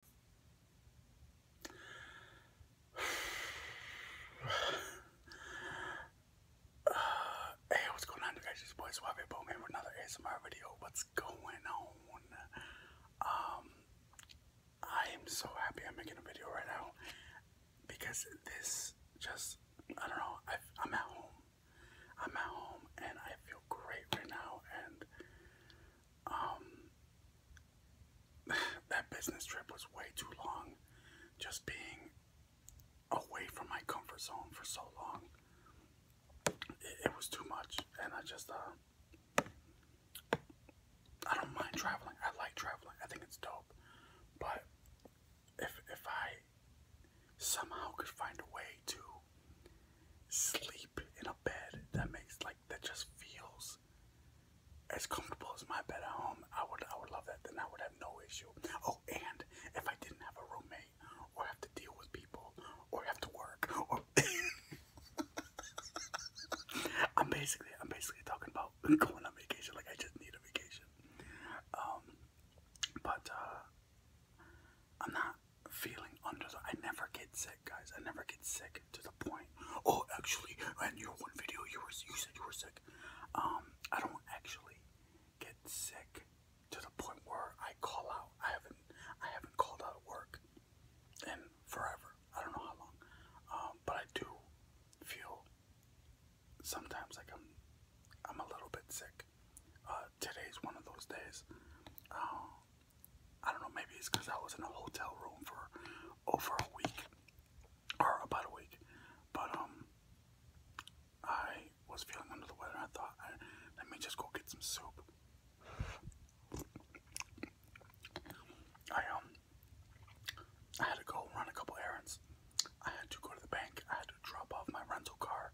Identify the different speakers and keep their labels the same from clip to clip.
Speaker 1: Hey, what's going on, guys? It's your boy Suave Bowman with another ASMR video. What's going on? Um, I am so happy I'm making a video right now because this just, I don't know, I'm at home. I'm at home and I feel great right now, and um, that business trip was way too long. Just being away from my comfort zone for so long, it, was too much, and I just uh, I don't mind traveling. I like traveling. I think it's dope, but if if I somehow could find a way to sleep in a bed that makes like that just feels as comfortable as my bed at home. I would I would love that. Then I would have no issue. Oh, and if I didn't have a roommate or have to deal with people or have to work or I'm basically I'm basically talking about going on vacation like I just need a vacation. Um but uh, I'm not feeling under the. I never get sick, guys. I never get sick to the point. Oh, actually, and your one video, you were you said you were sick. Um, I don't actually get sick to the point where I call out. I haven't I haven't called out of work and forever. I don't know how long. Um, but I do feel sometimes like I'm I'm a little bit sick. Uh, today's one of those days. Uh, I don't know, maybe it's because I was in a hotel room for over a week or about a week. But um I was feeling under the weather I thought let me just go get some soup. I um I had to go run a couple errands. I had to go to the bank, I had to drop off my rental car,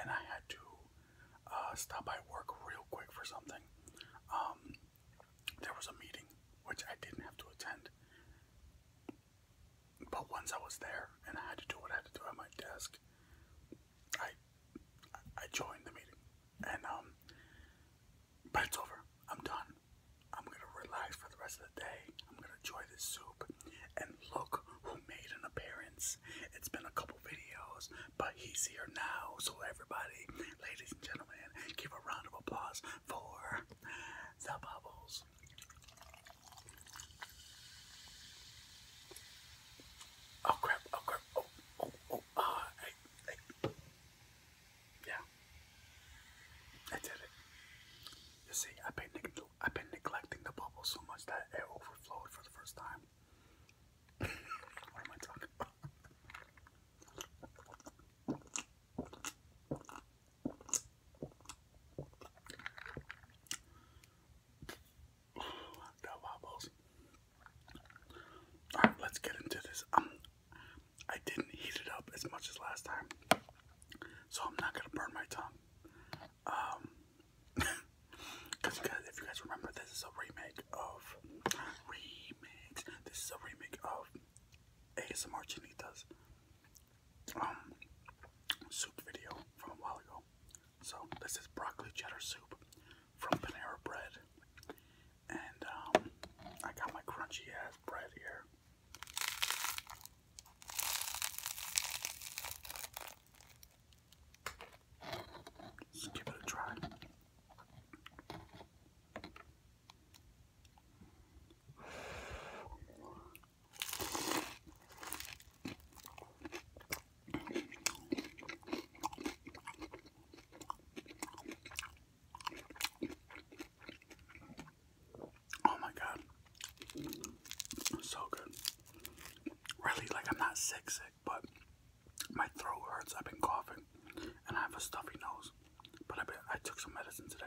Speaker 1: and I had to uh, stop by work real quick for something. Um, there was a meeting which I didn't have to attend, but once I was there and I had to do what I had to do at my desk, I I joined the meeting, and um, but it's over. I'm done. I'm gonna relax for the rest of the day. I'm gonna enjoy this soup, and look who made an appearance. It's been a couple videos, but he's here now. So everybody, ladies and gentlemen, give a round of applause for the bubbles. Oh crap! Oh crap! Oh oh oh! Uh, Yeah, I did it. You see, I've been neglecting the bubble so much that it overflowed for the first time. what am I talking the wobbles. Alright, let's get into this. Um, I didn't heat it up as much as last time, so I'm not gonna burn my tongue. Um, Cause if you guys remember, this is a remake of remix. This is a remake of ASMR Chinitas um, soup video from a while ago. So this is broccoli cheddar soup from Panera Bread, and um, I got my crunchy ass bread here. Let's give it a try. Oh my god. So good. Really like I'm not sick sick but my throat hurts. I've been coughing, and I have a stuffy nose. But I been, I took some medicine today.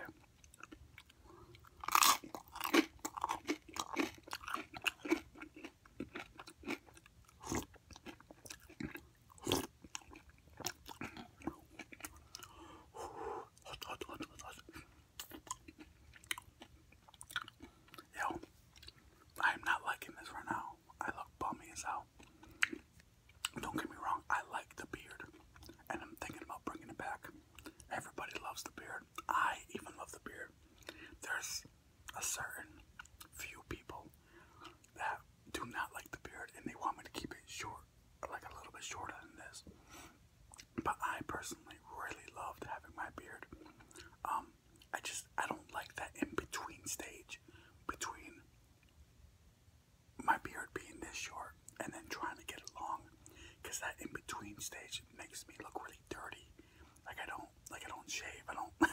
Speaker 1: Yo, I am not liking this right now. I look bummy as hell. Don't get me wrong, I like the beard, and I'm thinking about bringing it back. Everybody loves the beard. I even love the beard. There's a certain few people that do not like the beard, and they want me to keep it short, like a little bit shorter than this. But I personally really loved having my beard. Um, I just I don't like that in between stage between my beard being this short and then trying to get it because that in between stage makes me look really dirty. Like I don't like I don't shave. I don't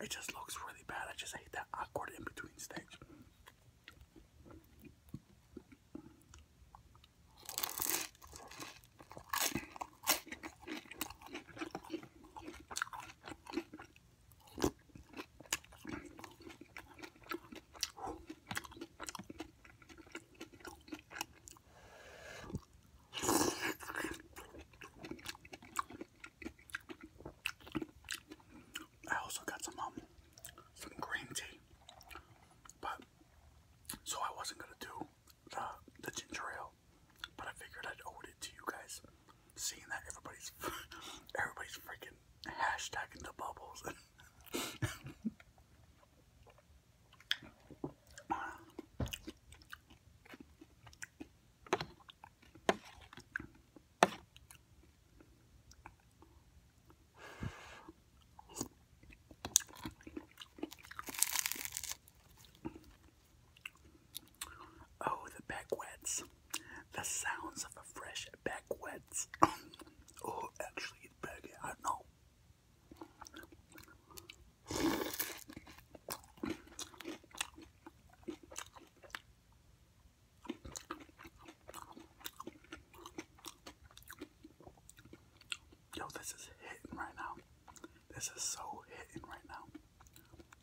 Speaker 1: it just looks really bad. I just hate that awkward in between stage. I also got some um some green tea, but so I wasn't gonna do the, ginger ale, but I figured I'd owe it to you guys, seeing that everybody's, everybody's freaking hashtagging the bubbles. Oh, the backwets. The sounds of a fresh backwets. oh, actually, back, I know. Yo, this is hitting right now. This is so hitting right now.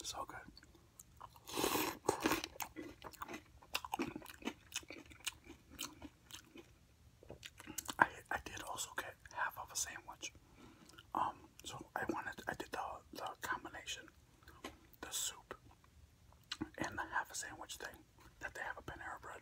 Speaker 1: So good. I I did also get half of a sandwich. Um, so I wanted I did the the combination, the soup and the half a sandwich thing that they have a Panera bread.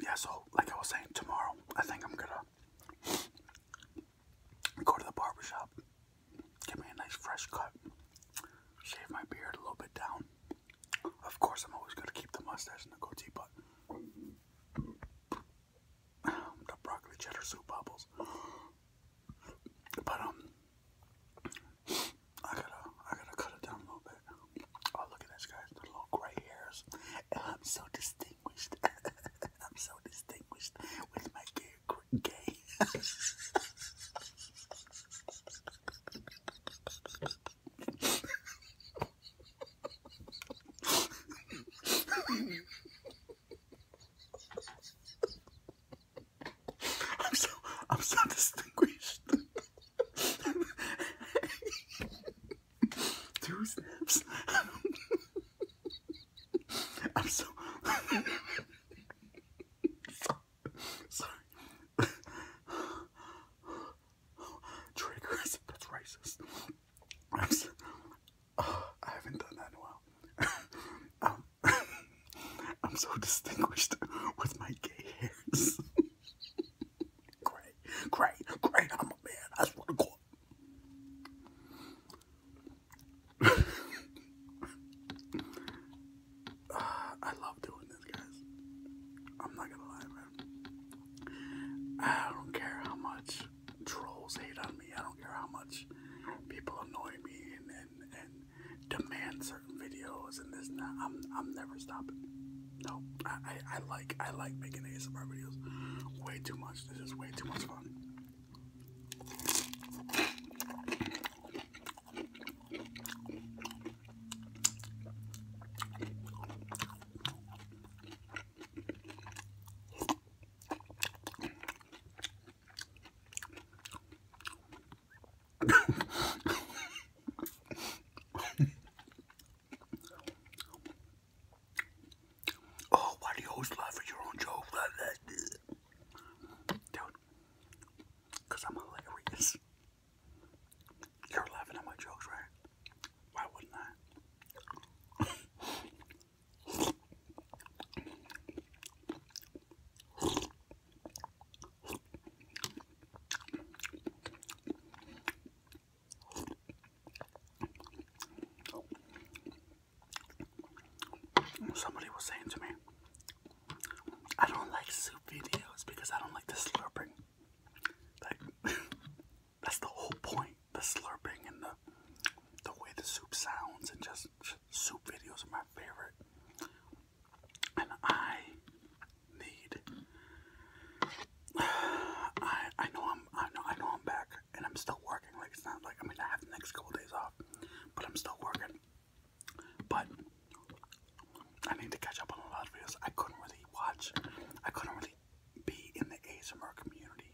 Speaker 1: Yeah, so like I was saying, tomorrow I think I'm gonna go to the barber shop, give me a nice fresh cut, shave my beard a little bit down. Of course, I'm always gonna keep the mustache and the goatee, but the broccoli cheddar soup bubbles. But um, I gotta, I gotta cut it down a little bit. Oh, look at this guys, little gray hairs. I'm so distinguished. I'm so distinguished with my gay. gray. I'm so I'm so distinguished. Two steps. I'm so sorry. Triggers. That's racist. I haven't done that in a while. um, I'm so distinguished with my gay hairs. great, great, great. I'm a man. I swear to God. I love doing this, guys. I'm not gonna lie, man. I don't care how much trolls hate on me. I don't care how much people annoy me and and, demand certain videos and this and that. I'm I'm never stopping. No, I, I like I like making ASMR videos way too much. This is way too much fun oh, why do you always laugh at your own joke like that? Dude, because I'm hilarious. You're laughing at my jokes, right? Why wouldn't I? Somebody was saying to me, I don't like soup videos because I don't like the slurping. Like, that's the whole point the slurping and the the way the soup sounds and just soup videos are my favorite. And I need I I know I'm I know I know I'm back and I'm still working. Like it's not like I mean I have the next couple days off, but I'm still working. But I need to catch up on a lot of videos. I couldn't really watch. I couldn't really be in the ASMR community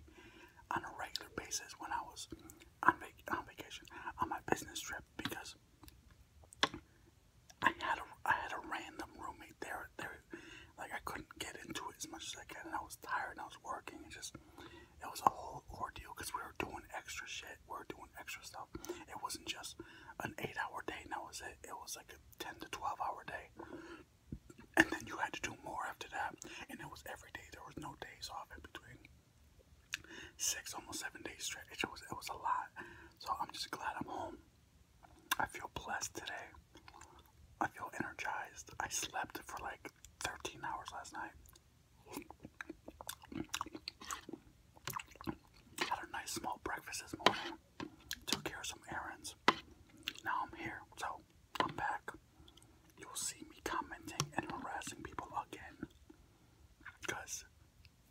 Speaker 1: on a regular basis when I was on, vac on vacation, on my business trip, because I had a, I had a random roommate there. There, like I couldn't get into it as much as I could, and I was tired, and I was working, and just it was a whole ordeal because we were doing extra shit. We were doing extra stuff. It wasn't just an eight-hour day, and it. It was like a ten to twelve-hour day and then you had to do more after that, and it was every day. There was no days off in between. Six, almost seven days straight. It was it was a lot. So I'm just glad I'm home. I feel blessed today. I feel energized. I slept for like 13 hours last night. Had a nice small breakfast this morning. Took care of some errands. Now I'm here, so I'm back you will see me commenting and harassing people again. Because,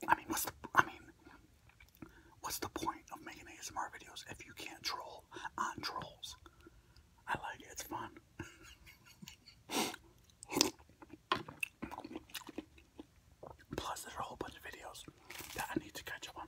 Speaker 1: I mean, what's the, I mean, what's the point of making ASMR videos if you can't troll on trolls? I like it, it's fun. Plus, there's a whole bunch of videos that I need to catch up on.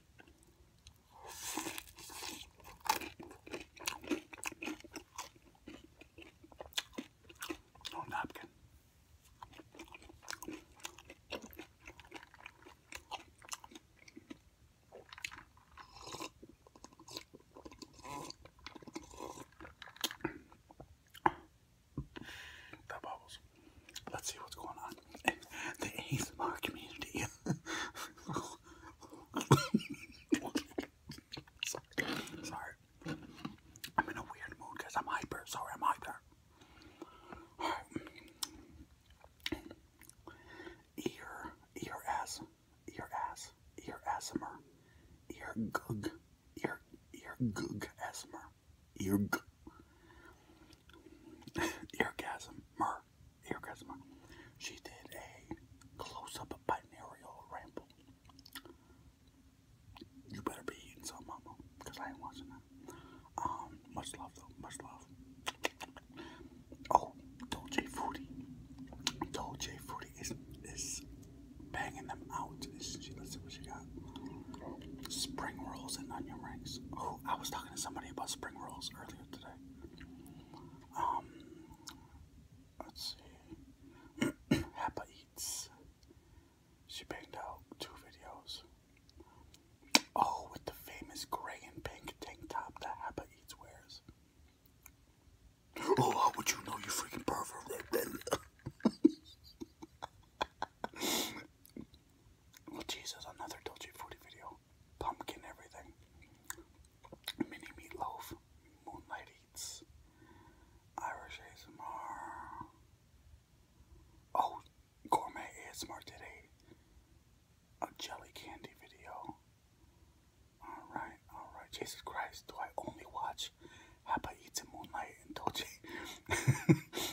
Speaker 1: No oh, napkin. the bubbles let's see what's going on in the ASMR community. sorry. sorry. I'm in a weird mood because I'm hyper. Sorry, I'm hyper. Alright. Ear, ear ass, ear ass, ear asthma, ear gug, ear, ear gug asthma ear eargasm mer eargasm. She did a close-up of binarial ramble. You better be eating some, mama, because I ain't watching that. Um, much love though, much love. Oh, Dolce Fruity. Dolce Foodie is is banging them out. let's see what she got. Spring rolls and onion rings. Oh, I was talking to somebody about spring rolls earlier today. Um, let's see. Happa Eats. She banged out two videos. Oh, with the famous gray and pink tank top that Happa Eats wears. Oh, how would you know, you freaking pervert? Well, Jesus, another dodgy foodie video. Pumpkin everything. Mini meatloaf. Moonlight eats. Irish ASMR. Oh, gourmet ASMR did a, jelly candy video. Alright, alright. Jesus Christ, do I only watch Happa Eats and Moonlight and Dolce?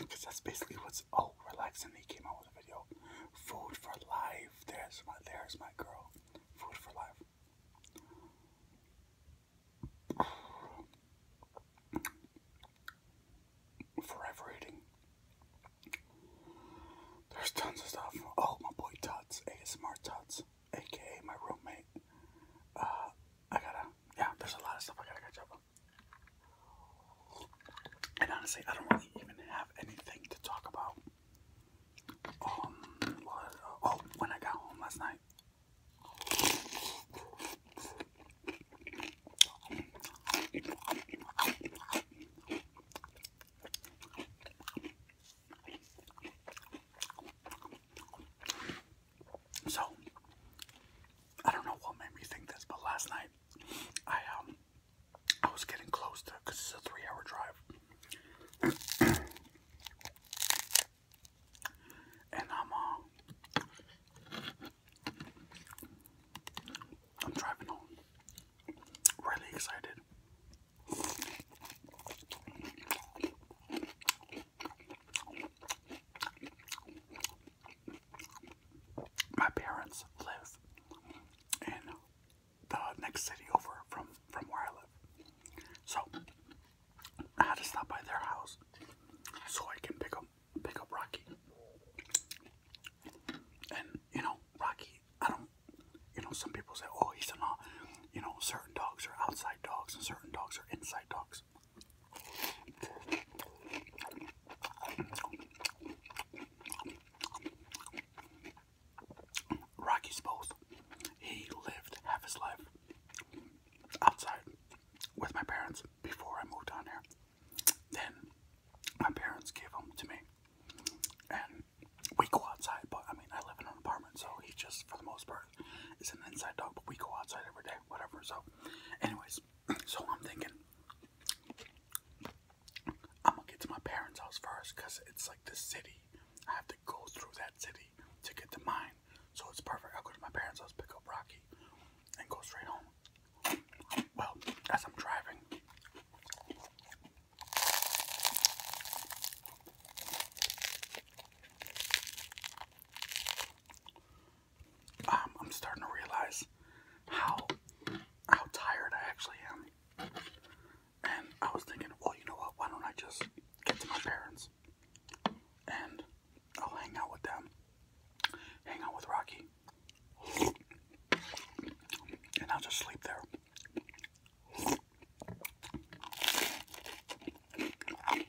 Speaker 1: Because that's basically what's. all oh, relaxing he came out with a video. Food for life. There's my there's my girl. Food for life. Forever eating. There's tons of stuff. Oh, my boy Tots, ASMR Tots, aka my roommate. Uh, I gotta, yeah, there's a lot of stuff I gotta catch up and honestly, I don't really even have anything to talk about. Um, oh, when I got home last night, so I don't know what made me think this, but last night I um I was getting close to because it's a three-hour drive, and I'm uh I'm driving home, really excited my parents live in the next city over from from where I live. So I had to stop by their house so I can pick up pick up Rocky. And you know, Rocky, I don't you know, some people say, Oh, he's an uh, you know, certain dogs are outside dogs and certain dogs are inside dogs six. Rocky he lived half his life outside with my parents before I moved down here. Then my parents gave him to me, and we go outside. But I mean, I live in an apartment, so he just, for the most part, is an inside dog. But we go outside every day, whatever. So, anyways. So I'm thinking, I'm gonna get to my parents' house first because it's like the city. I have to go through that city to get to mine. So it's perfect. I'll go to my parents' house, pick up Rocky, and go straight home. Well, as I'm driving, um, I'm starting to realize how how tired I actually am. And I was thinking, well, you know what? Why don't I just get to my parents and I'll hang out with them, hang out with Rocky, and I'll just sleep there.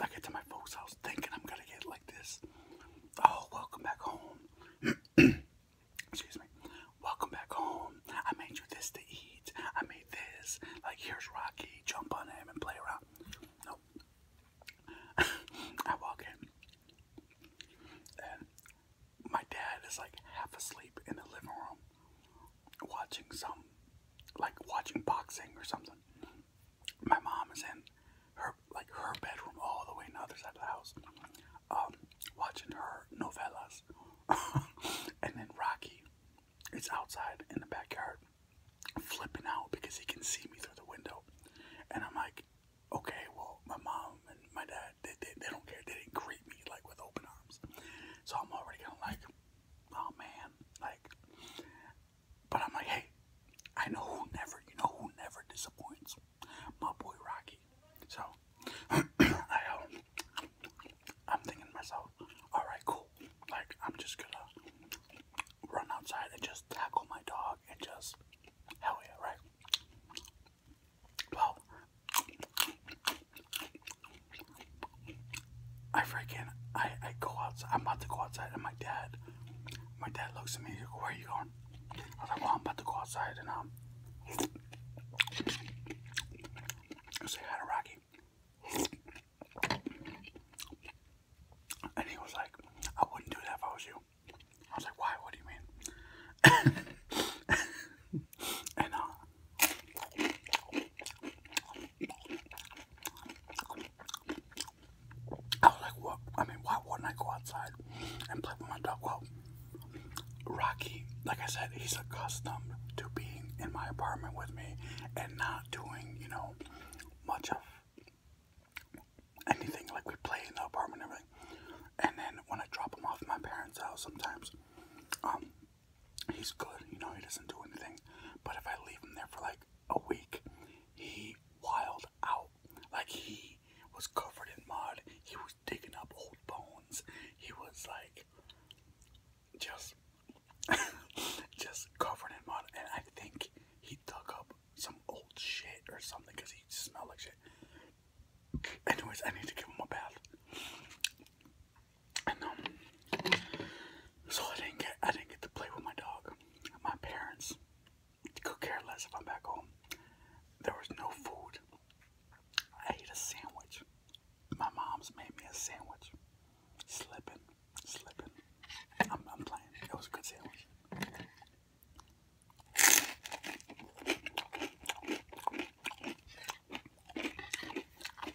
Speaker 1: I get to my folks' house thinking I'm gonna get like this. Oh, welcome back home. Excuse me. Welcome back home. I made you this to eat. I made this. Like here's Rocky. Jump on him and play around. No. I walk in and my dad is like half asleep in the living room watching some like watching boxing or something my mom is in her like her bedroom all the way in the other side of the house, um, watching her novellas, and then Rocky it's outside in the backyard flipping out because he can see me through the window, and I'm like, okay, well, my mom and my dad they they, they don't care, they didn't greet me like with open arms, so I'm already kind of like, oh man, like but I'm like, hey, I know who never, you know who never disappoints? My boy Rocky. So I um, I'm thinking to myself, alright, cool. Like I'm just gonna run outside and just tackle my dog and just hell yeah, right? Well I freaking I, I go outside. I'm about to go outside, and my dad, my dad looks at me. "Where are you going?" I was like, "Well, I'm about to go outside, and um, say hi to Rocky." And he was like, "I wouldn't do that if I was you." I was like, "Why? What do you mean?" and uh. I was like, what? I mean, why wouldn't I go outside and play with my dog? Well, Rocky, like I said, he's accustomed to being in my apartment with me and not doing, you know, much of anything. Like, we play in the apartment and everything. And then when I drop him off at my parents' house sometimes, um, he's good, you know, he doesn't do anything. But if I leave him there for like a week, he wild out. Like he was covered in mud. He was digging up old bones. He was like just just covered in mud. And I think he dug up some old shit or something because he smelled like shit. Anyways, I need to give him a bath. And um so I didn't get I didn't get to play with my dog. My parents could care less if I'm back home. There was no food. I ate a sandwich. My mom's made me a sandwich. Slipping, slipping. I'm, I'm playing. It was a good sandwich.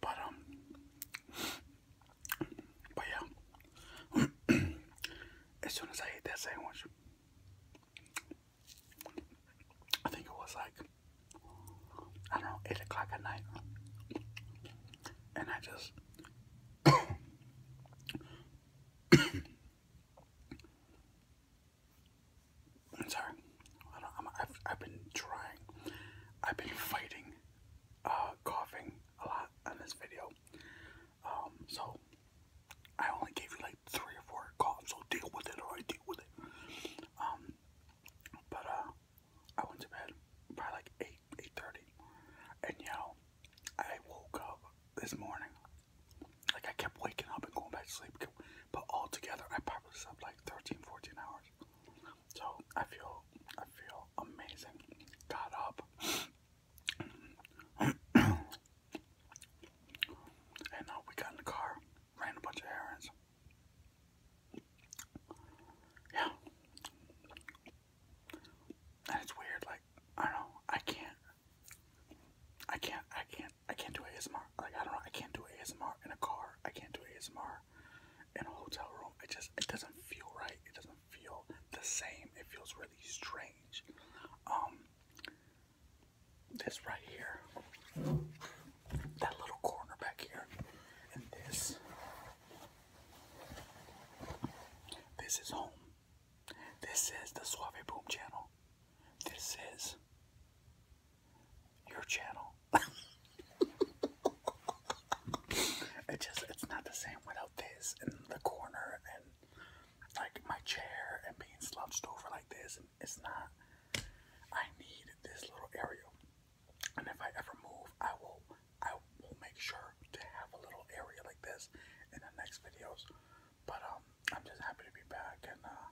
Speaker 1: But um, but yeah. as soon as I ate that sandwich, I think it was like I don't know eight o'clock at night, and I just. I'm sorry. I have I've been trying. I've been fighting uh, coughing a lot in this video. Um, so I only gave you like three or four coughs, so deal with it or I deal with it. Um, but uh, I went to bed by like eight, eight thirty, and you I woke up this morning like I kept waking up and going back to sleep, but altogether I probably slept like 13, 14 hours. So I feel, I feel amazing. Got up, and uh, we got in the car, ran a bunch of errands. Yeah, and it's weird. Like I don't know, I can't. I can't, I can't, I can't do ASMR. Like, I don't know, I can't do ASMR in a car. I can't do ASMR in a hotel room. I just, it doesn't feel right. It doesn't feel the same. It feels really strange. Um, this right here, that little corner back here, and this, this is home. This is the Suave Boom channel. This is your channel. it just, it's not the same without this in the corner and like my chair and being slouched over like this. And it's not, I need this little area. And if I ever move, I will, I will make sure to have a little area like this in the next videos. But um, I'm just happy to be back, and uh,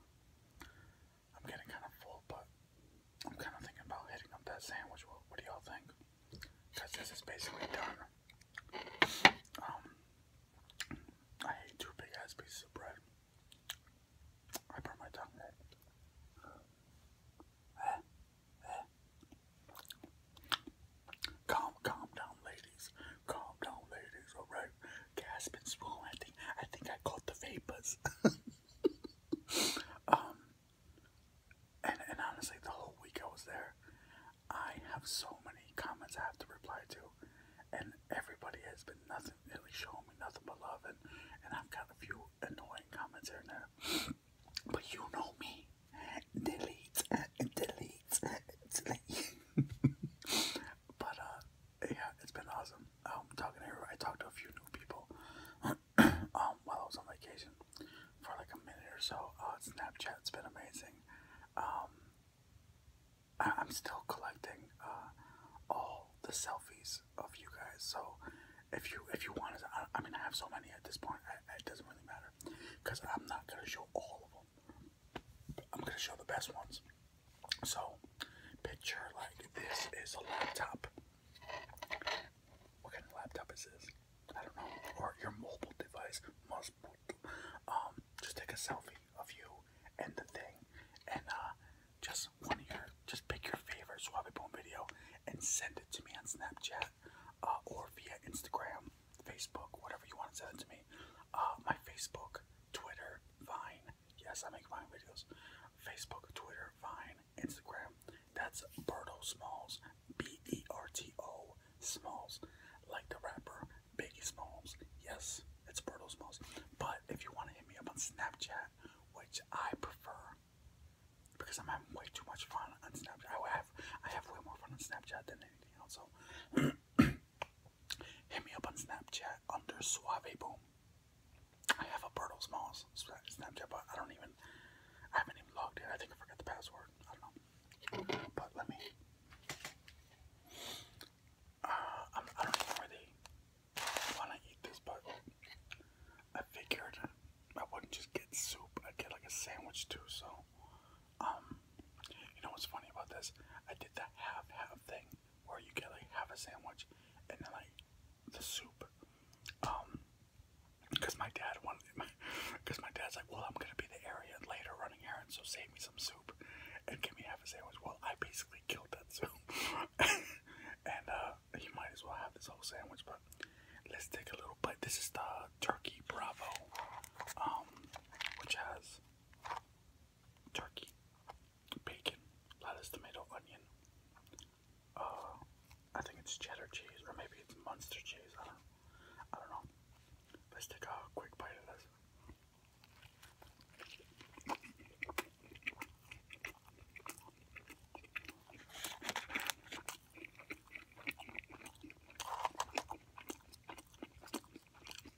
Speaker 1: I'm getting kind of full, but I'm kind of thinking about hitting up that sandwich. What, what do y'all think? Because this is basically done. Um, I hate two big ass pieces of bread. I burn my tongue. Calm, calm down, lady. Calm down, ladies. All right. Gasp and I think I think I caught the vapors. um, and and honestly, the whole week I was there, I have so many comments I have to reply to, and everybody has been nothing really showing me nothing but love, and and I've got a few annoying comments here and there. But you know me, delete, delete, delete. but uh, yeah, it's been awesome. Um, talking to everybody, I talked to a few new people um, while I was on vacation for like a minute or so. Uh, Snapchat's been amazing. Um, I I'm still collecting uh, all the selfies of you guys. So if you if you want to, I, I mean, I have so many at this point. it doesn't really matter because I'm not gonna show all of them. I'm gonna show the best ones. So, picture like this is a laptop. What kind of laptop is this? I don't know. Or your mobile device must. Um, just take a selfie of you and the thing, and uh, just one of your, just pick your favorite Suave Bone video and send it to me on Snapchat uh, or via Instagram Facebook, whatever you want to send it to me. Uh, my Facebook, Twitter, Vine. Yes, I make Vine videos. Facebook, Twitter, Vine, Instagram. That's Berto Smalls. B E R T O Smalls. Like the rapper Biggie Smalls. Yes, it's Berto Smalls. But if you want to hit me up on Snapchat, which I prefer because I'm having way too much fun on Snapchat. I have I have way more fun on Snapchat than anything else. Hit me up on Snapchat under Suave Boom. I have a Bertles Malls Snapchat, but I don't even, I haven't even logged in. I think I forgot the password. I don't know. But let me. Uh, I do not even really want to eat this, but I figured I wouldn't just get soup. I'd get like a sandwich too, so um, you know what's funny about this? I did the half half thing where you get like half a sandwich and then like the soup. Um, because my dad wanted my, because my dad's like, well, I'm gonna be the area later running errands, so save me some soup and give me half a sandwich. Well, I basically killed that soup, and uh, he might as well have this whole sandwich. But let's take a little bite. This is the turkey bravo, um, which has turkey, bacon, lettuce, tomato, onion. Uh, I think it's cheddar cheese, or maybe it's Munster cheese. I don't, I don't know. Let's take a quick bite of this.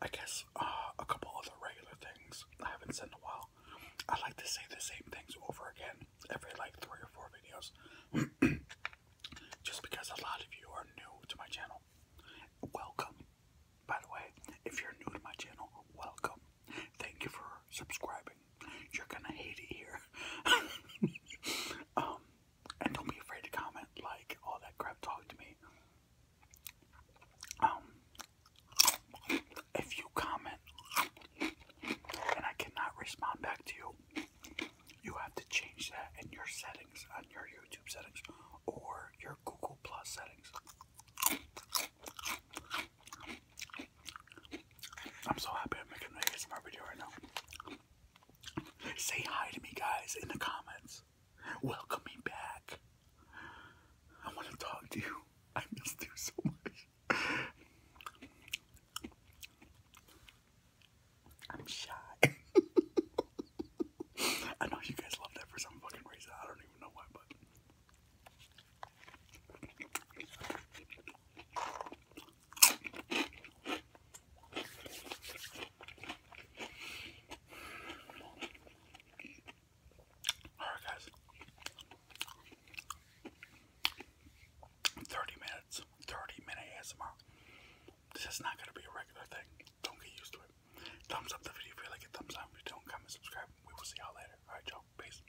Speaker 1: I guess uh, a couple other regular things I haven't said in a while. I like to say the same things over again every like three or four videos. Just because a lot of you are new to my channel. Welcome. By the way, if you're new to my channel, welcome. Thank you for subscribing. You're gonna hate it here. Um, and don't be afraid to comment, like, all that crap. Talk to me. Um, if you comment and I cannot respond back to you, you have to change that in your settings, on your YouTube settings, or your Google Plus settings. I'm so happy I'm making an ASMR video right now. Say hi to me, guys, in the comments. Welcome me back. I want to talk to you. I missed you so much. I'm shy. I know you guys love that for some fucking reason. I don't even know why, but Alright guys. 30 minutes. 30 minute ASMR. This is not gonna be a regular thing. Don't get used to it. Thumbs up the video if you like it. Thumbs up if you don't comment, subscribe. We will see y'all later. Alright, y'all. Peace.